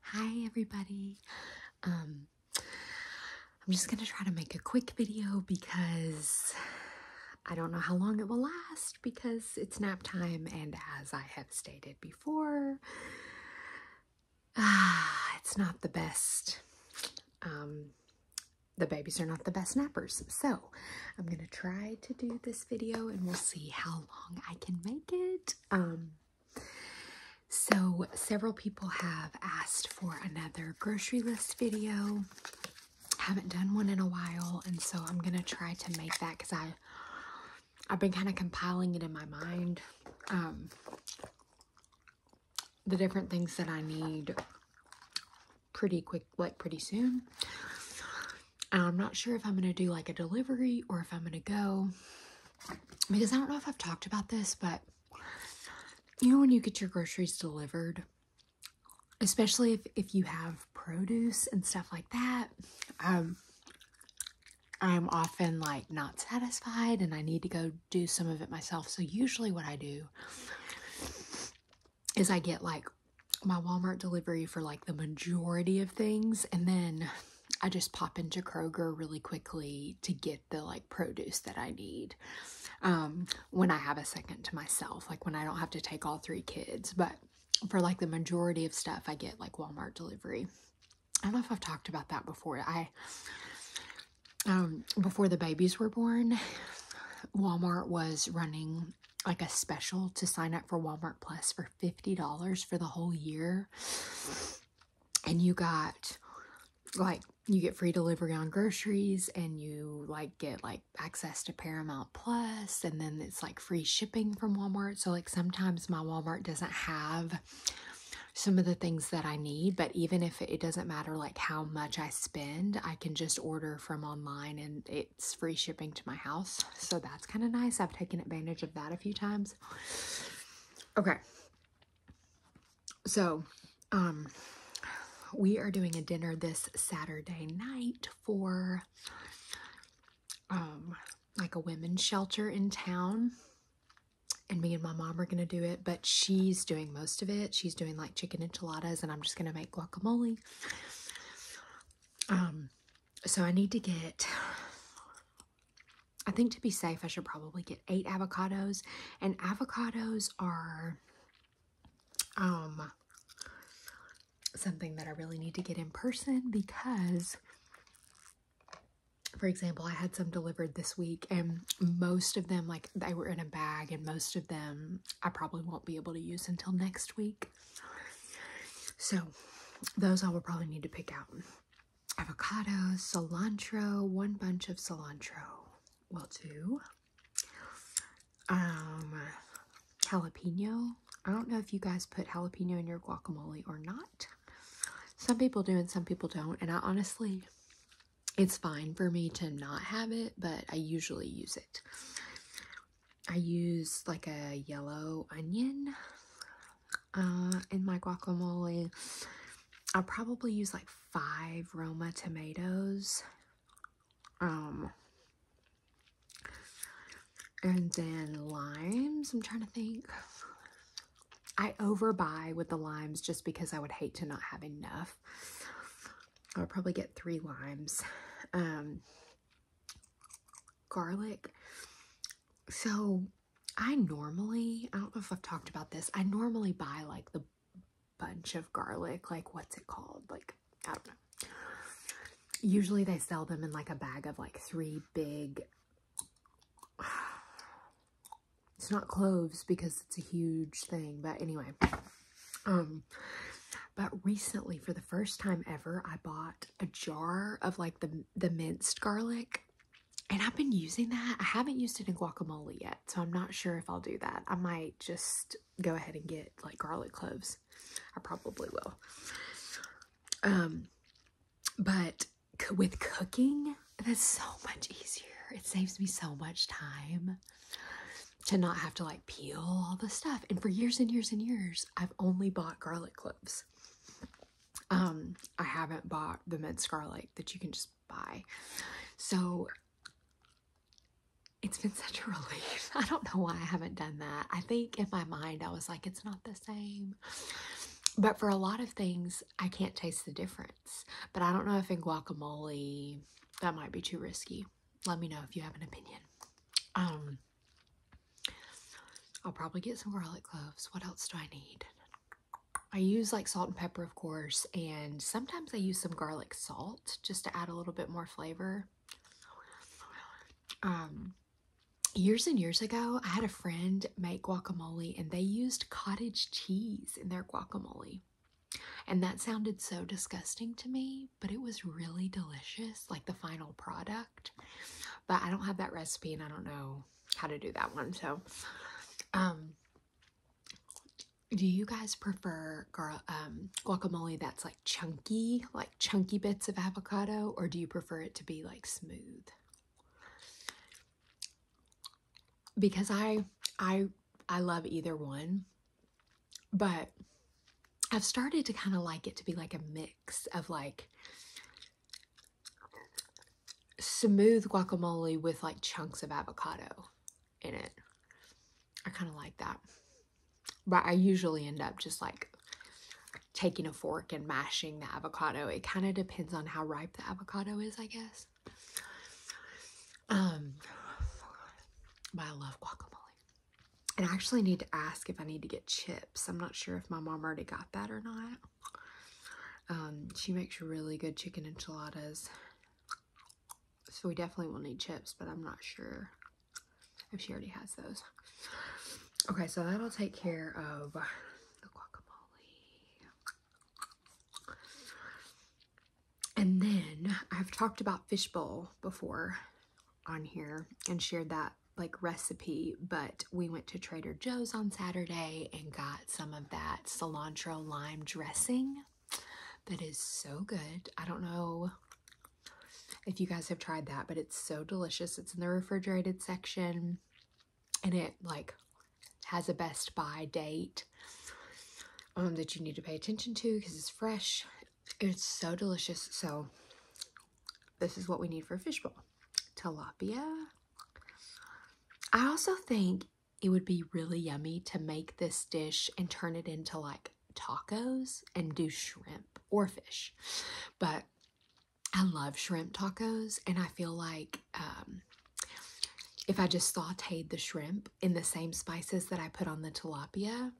Hi everybody. Um, I'm just going to try to make a quick video because I don't know how long it will last because it's nap time and as I have stated before ah, it's not the best um, the babies are not the best nappers. So, I'm going to try to do this video and we'll see how long I can make it. Um, so several people have asked for another grocery list video. Haven't done one in a while, and so I'm gonna try to make that because I I've been kind of compiling it in my mind. Um, the different things that I need pretty quick, like pretty soon. Um, I'm not sure if I'm going to do like a delivery or if I'm going to go because I don't know if I've talked about this, but you know, when you get your groceries delivered, especially if, if you have produce and stuff like that, um, I'm often like not satisfied and I need to go do some of it myself. So usually what I do is I get like my Walmart delivery for like the majority of things and then I just pop into Kroger really quickly to get the like produce that I need um, when I have a second to myself, like when I don't have to take all three kids. But for like the majority of stuff, I get like Walmart delivery. I don't know if I've talked about that before. I, um, before the babies were born, Walmart was running like a special to sign up for Walmart Plus for $50 for the whole year and you got like you get free delivery on groceries and you like get like access to Paramount Plus and then it's like free shipping from Walmart. So like sometimes my Walmart doesn't have some of the things that I need, but even if it doesn't matter like how much I spend, I can just order from online and it it's free shipping to my house. So that's kind of nice. I've taken advantage of that a few times. Okay. So, um, we are doing a dinner this Saturday night for, um, like a women's shelter in town. And me and my mom are going to do it, but she's doing most of it. She's doing like chicken enchiladas and I'm just going to make guacamole. Um, so I need to get, I think to be safe, I should probably get eight avocados. And avocados are um, something that I really need to get in person because, for example, I had some delivered this week and most of them, like they were in a bag and most of them I probably won't be able to use until next week. So those I will probably need to pick out. avocados, cilantro, one bunch of cilantro will do. Um, jalapeno. I don't know if you guys put jalapeno in your guacamole or not. Some people do and some people don't. And I honestly, it's fine for me to not have it, but I usually use it. I use like a yellow onion uh, in my guacamole. I'll probably use like five Roma tomatoes. Um, and then limes. I'm trying to think. I overbuy with the limes just because I would hate to not have enough. I'll probably get three limes. Um, garlic. So I normally, I don't know if I've talked about this, I normally buy like the bunch of garlic, like what's it called? Like, I don't know. Usually they sell them in like a bag of like three big, it's not cloves because it's a huge thing, but anyway, um, um, but recently, for the first time ever, I bought a jar of like the the minced garlic. And I've been using that. I haven't used it in guacamole yet, so I'm not sure if I'll do that. I might just go ahead and get like garlic cloves. I probably will. Um, but with cooking, that's so much easier. It saves me so much time to not have to like peel all the stuff. And for years and years and years, I've only bought garlic cloves. Um, I haven't bought the minced garlic that you can just buy. So it's been such a relief. I don't know why I haven't done that. I think in my mind, I was like, it's not the same. But for a lot of things, I can't taste the difference. But I don't know if in guacamole, that might be too risky. Let me know if you have an opinion. Um, I'll probably get some garlic cloves. What else do I need? I use like salt and pepper, of course, and sometimes I use some garlic salt just to add a little bit more flavor. Um, years and years ago, I had a friend make guacamole and they used cottage cheese in their guacamole. And that sounded so disgusting to me but it was really delicious, like the final product. But I don't have that recipe and I don't know how to do that one. So, um, do you guys prefer girl um, guacamole that's like chunky, like chunky bits of avocado, or do you prefer it to be like smooth? Because I, I, I love either one. But I've started to kind of like it to be like a mix of like smooth guacamole with like chunks of avocado in it. I kind of like that. But I usually end up just like taking a fork and mashing the avocado. It kind of depends on how ripe the avocado is, I guess. Um, but I love guacamole. And I actually need to ask if I need to get chips. I'm not sure if my mom already got that or not. Um, she makes really good chicken enchiladas. So we definitely will need chips, but I'm not sure if she already has those. Okay, so that'll take care of the guacamole. And then I've talked about fishbowl before on here and shared that like recipe, but we went to Trader Joe's on Saturday and got some of that cilantro lime dressing that is so good. I don't know if you guys have tried that, but it's so delicious. It's in the refrigerated section and it like has a best Buy date um, that you need to pay attention to because it's fresh it's so delicious. So this is what we need for fish fishbowl. Tilapia. I also think it would be really yummy to make this dish and turn it into like tacos and do shrimp or fish. But I love shrimp tacos and I feel like um, if I just sauteed the shrimp in the same spices that I put on the tilapia,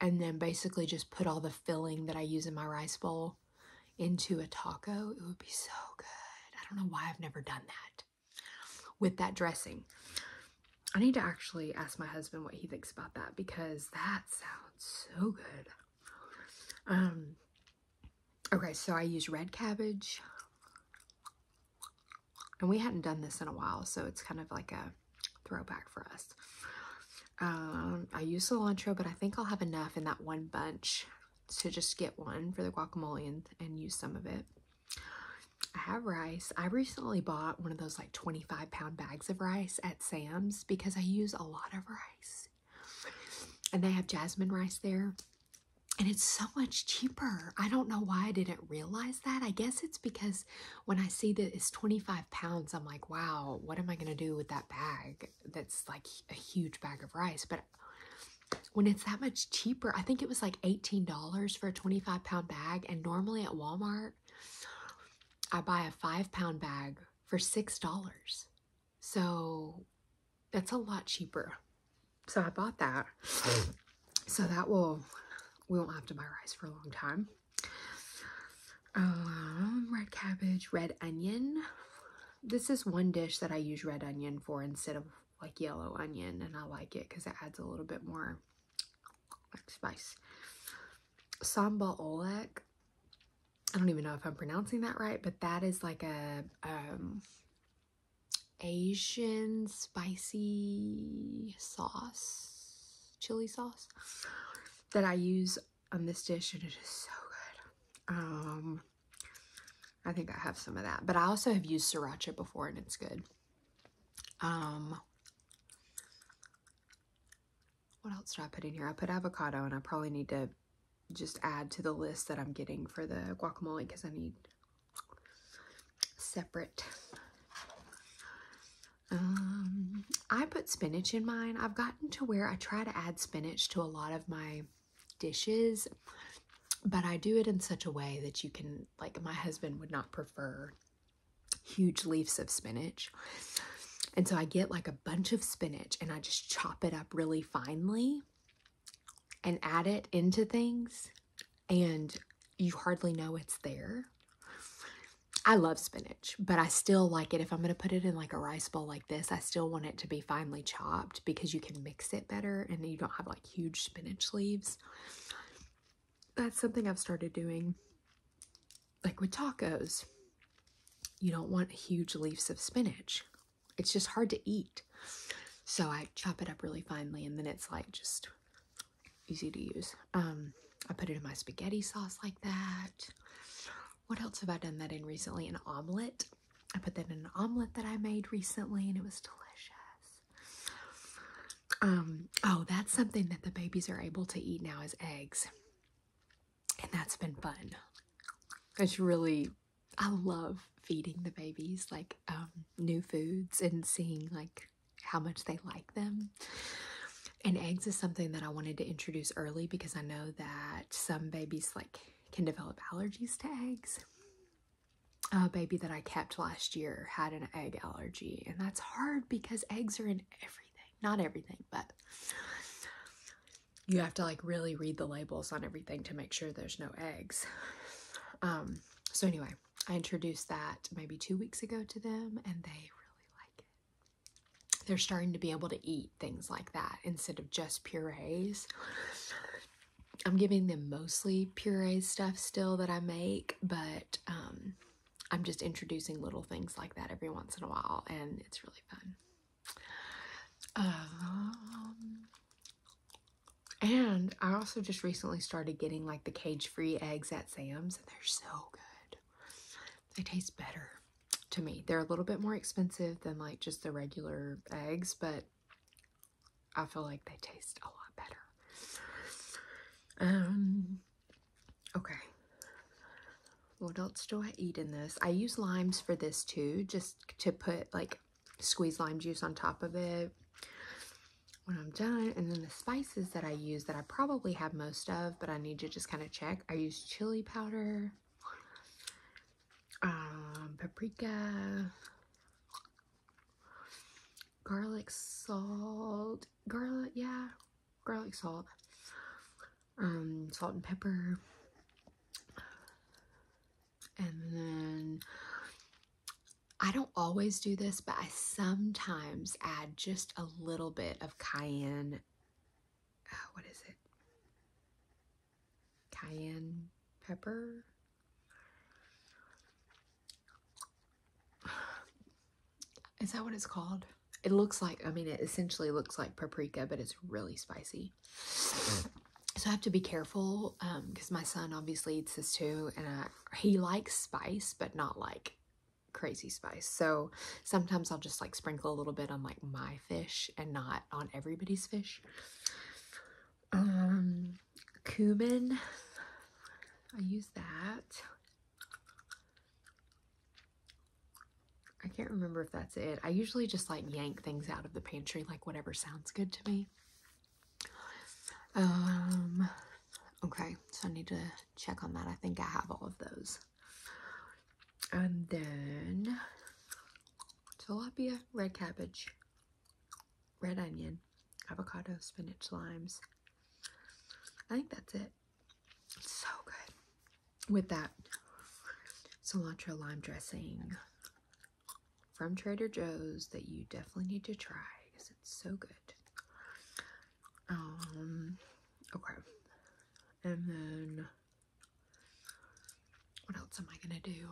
and then basically just put all the filling that I use in my rice bowl into a taco. It would be so good. I don't know why I've never done that with that dressing. I need to actually ask my husband what he thinks about that because that sounds so good. Um, okay, so I use red cabbage. And we hadn't done this in a while, so it's kind of like a throwback for us. Um, I use cilantro, but I think I'll have enough in that one bunch to just get one for the guacamole and use some of it. I have rice. I recently bought one of those like 25 pound bags of rice at Sam's because I use a lot of rice. And they have jasmine rice there. And it's so much cheaper. I don't know why I didn't realize that. I guess it's because when I see that it's 25 pounds, I'm like, wow, what am I going to do with that bag? That's like a huge bag of rice. But when it's that much cheaper, I think it was like $18 for a 25 pound bag. And normally at Walmart, I buy a five pound bag for $6. So that's a lot cheaper. So I bought that so that will we won't have to buy rice for a long time um, red cabbage red onion this is one dish that i use red onion for instead of like yellow onion and i like it because it adds a little bit more like spice sambal olek i don't even know if i'm pronouncing that right but that is like a um Asian spicy sauce, chili sauce that I use on this dish and it is so good. Um, I think I have some of that, but I also have used sriracha before and it's good. Um, what else did I put in here? I put avocado and I probably need to just add to the list that I'm getting for the guacamole because I need separate. Um, I put spinach in mine. I've gotten to where I try to add spinach to a lot of my dishes, but I do it in such a way that you can, like, my husband would not prefer huge leaves of spinach. And so I get like a bunch of spinach and I just chop it up really finely and add it into things and you hardly know it's there. I love spinach, but I still like it. If I'm going to put it in like a rice bowl like this, I still want it to be finely chopped because you can mix it better and you don't have like huge spinach leaves. That's something I've started doing like with tacos. You don't want huge leaves of spinach. It's just hard to eat. So I chop it up really finely and then it's like just easy to use. Um, I put it in my spaghetti sauce like that. What else have I done that in recently? An omelet. I put that in an omelet that I made recently and it was delicious. Um, oh, that's something that the babies are able to eat now is eggs. And that's been fun. It's really, I love feeding the babies like um, new foods and seeing like how much they like them. And eggs is something that I wanted to introduce early because I know that some babies like can develop allergies to eggs. A baby that I kept last year had an egg allergy, and that's hard because eggs are in everything. Not everything, but you have to like really read the labels on everything to make sure there's no eggs. Um, so anyway, I introduced that maybe two weeks ago to them, and they really like it. They're starting to be able to eat things like that instead of just purees. I'm giving them mostly puree stuff still that I make, but um, I'm just introducing little things like that every once in a while, and it's really fun. Um, and I also just recently started getting like the cage free eggs at Sam's, and they're so good. They taste better to me. They're a little bit more expensive than like just the regular eggs, but I feel like they taste a lot better. Um, okay. What else do I eat in this? I use limes for this too, just to put like squeeze lime juice on top of it when I'm done. And then the spices that I use that I probably have most of, but I need to just kind of check. I use chili powder, um, paprika, garlic salt, garlic, yeah, garlic salt, um, salt and pepper, and then I don't always do this, but I sometimes add just a little bit of cayenne. Uh, what is it? Cayenne pepper. Is that what it's called? It looks like, I mean, it essentially looks like paprika, but it's really spicy. Mm so I have to be careful because um, my son obviously eats this too, and I, he likes spice, but not like crazy spice. So sometimes I'll just like sprinkle a little bit on like my fish and not on everybody's fish. Um, cumin, I use that. I can't remember if that's it. I usually just like yank things out of the pantry, like whatever sounds good to me. Um, okay, so I need to check on that. I think I have all of those. And then tilapia, red cabbage, red onion, avocado, spinach, limes. I think that's it. so good. With that cilantro lime dressing from Trader Joe's that you definitely need to try because it's so good. Um, okay. And then, what else am I gonna do?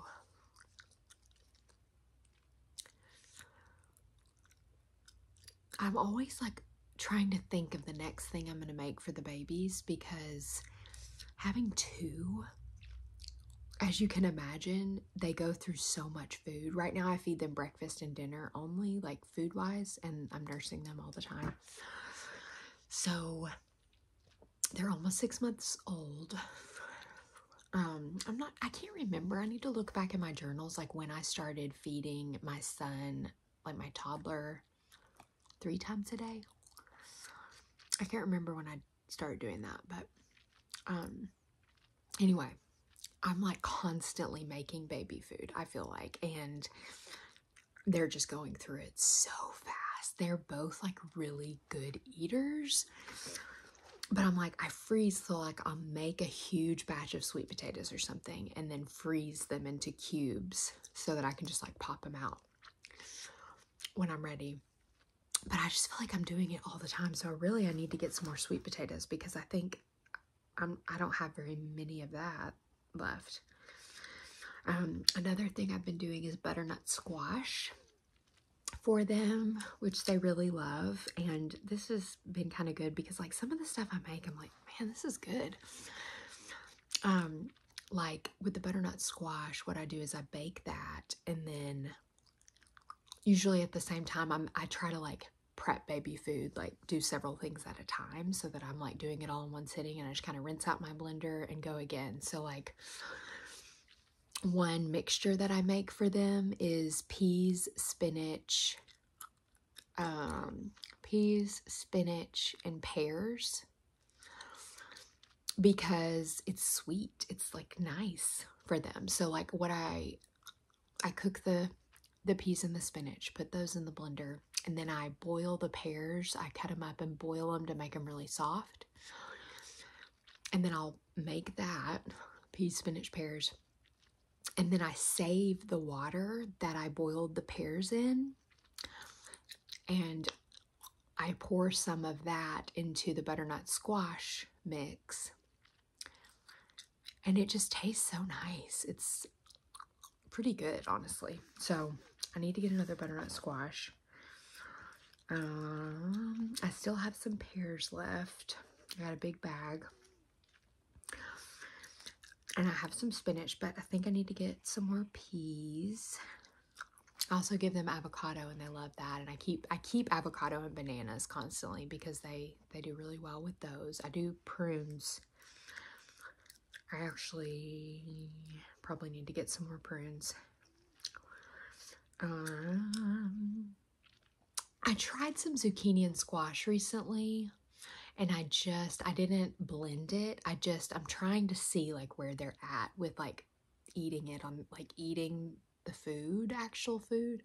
I'm always like trying to think of the next thing I'm gonna make for the babies because having two as you can imagine, they go through so much food. Right now, I feed them breakfast and dinner only, like food wise, and I'm nursing them all the time. So they're almost six months old. Um, I'm not, I can't remember. I need to look back in my journals, like when I started feeding my son, like my toddler, three times a day. I can't remember when I started doing that, but um anyway, I'm like constantly making baby food, I feel like, and they're just going through it so fast. They're both like really good eaters. But I'm like, I freeze, so like I'll make a huge batch of sweet potatoes or something and then freeze them into cubes so that I can just like pop them out when I'm ready but I just feel like I'm doing it all the time. So really, I need to get some more sweet potatoes because I think I'm, I don't have very many of that left. Um, another thing I've been doing is butternut squash for them, which they really love. And this has been kind of good because like some of the stuff I make, I'm like, man, this is good. Um, like with the butternut squash, what I do is I bake that and then usually at the same time I'm I try to like prep baby food, like do several things at a time so that I'm like doing it all in one sitting and I just kind of rinse out my blender and go again. So like one mixture that I make for them is peas, spinach, um, peas, spinach, and pears because it's sweet it's like nice for them so like what i i cook the the peas and the spinach put those in the blender and then i boil the pears i cut them up and boil them to make them really soft and then i'll make that peas spinach pears and then i save the water that i boiled the pears in and I pour some of that into the butternut squash mix. And it just tastes so nice. It's pretty good, honestly. So I need to get another butternut squash. Um, I still have some pears left. I got a big bag. And I have some spinach, but I think I need to get some more peas. I also give them avocado and they love that and I keep I keep avocado and bananas constantly because they they do really well with those. I do prunes. I actually probably need to get some more prunes. Um, I tried some zucchini and squash recently and I just I didn't blend it. I just I'm trying to see like where they're at with like eating it on like eating the food, actual food.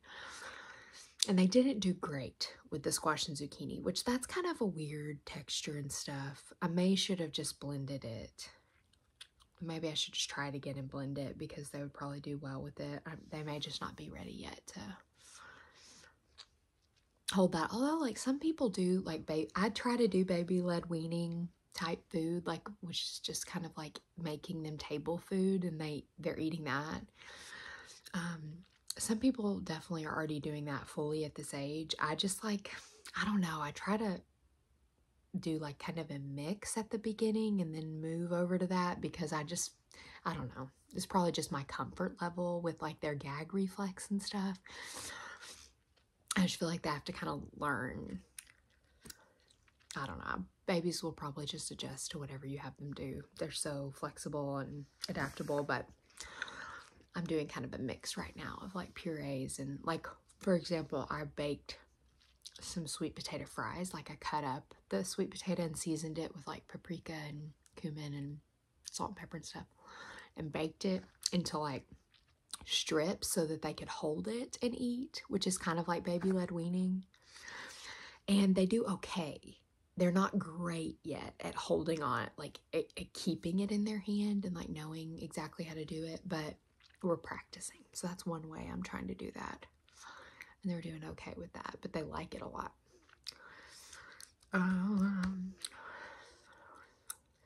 And they didn't do great with the squash and zucchini, which that's kind of a weird texture and stuff. I may should have just blended it. Maybe I should just try it again and blend it because they would probably do well with it. they may just not be ready yet to hold that. Although, like some people do, like baby, I try to do baby led weaning type food, like which is just kind of like making them table food and they they're eating that. Um, some people definitely are already doing that fully at this age. I just like I don't know. I try to do like kind of a mix at the beginning and then move over to that because I just I don't know. It's probably just my comfort level with like their gag reflex and stuff. I just feel like they have to kind of learn. I don't know. Babies will probably just adjust to whatever you have them do. They're so flexible and adaptable, but I'm doing kind of a mix right now of like purees and like, for example, I baked some sweet potato fries. Like I cut up the sweet potato and seasoned it with like paprika and cumin and salt and pepper and stuff and baked it into like strips so that they could hold it and eat, which is kind of like baby led weaning. And they do okay. They're not great yet at holding on, like keeping it in their hand and like knowing exactly how to do it, but we're practicing. So that's one way I'm trying to do that. And they're doing okay with that, but they like it a lot. Um,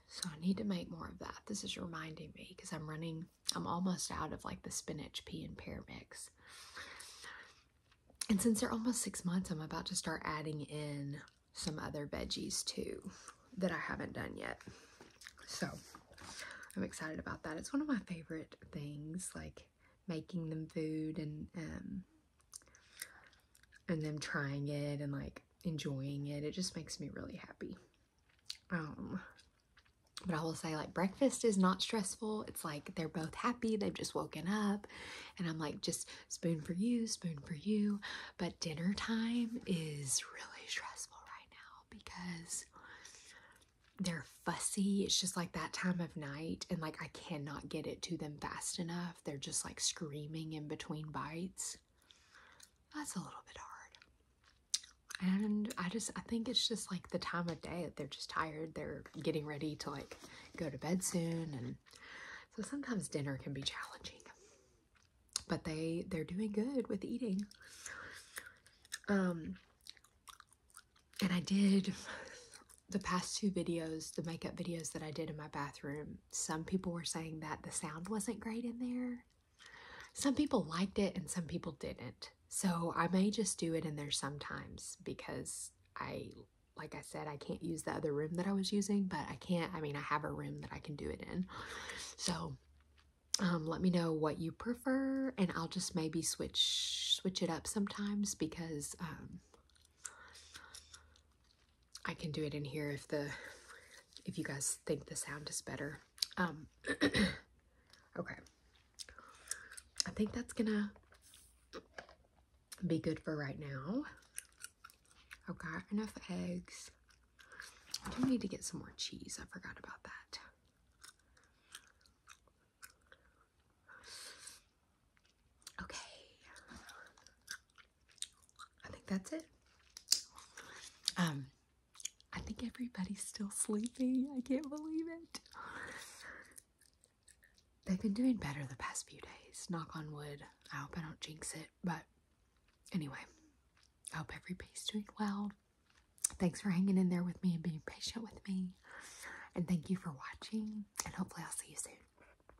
so I need to make more of that. This is reminding me because I'm running, I'm almost out of like the spinach, pea, and pear mix. And since they're almost six months, I'm about to start adding in some other veggies too that I haven't done yet. So I'm excited about that. It's one of my favorite things, like making them food and um, and them trying it and like enjoying it. It just makes me really happy. Um, but I will say like breakfast is not stressful. It's like they're both happy. They've just woken up and I'm like just spoon for you, spoon for you. But dinner time is really stressful right now because they're fussy. It's just like that time of night and like I cannot get it to them fast enough. They're just like screaming in between bites that's a little bit hard. And I just I think it's just like the time of day that they're just tired. They're getting ready to like go to bed soon and so sometimes dinner can be challenging. But they they're doing good with eating. Um and I did the past two videos, the makeup videos that I did in my bathroom, some people were saying that the sound wasn't great in there. Some people liked it and some people didn't. So I may just do it in there sometimes because I, like I said, I can't use the other room that I was using, but I can't, I mean, I have a room that I can do it in. So um, let me know what you prefer and I'll just maybe switch, switch it up sometimes because, um, I can do it in here if the if you guys think the sound is better. Um okay. I think that's gonna be good for right now. I've got enough eggs. I do need to get some more cheese. I forgot about that. Okay. I think that's it. Um, I think everybody's still sleeping. I can't believe it. They've been doing better the past few days. Knock on wood. I hope I don't jinx it. But anyway, I hope everybody's doing well. Thanks for hanging in there with me and being patient with me. And thank you for watching. And hopefully, I'll see you soon.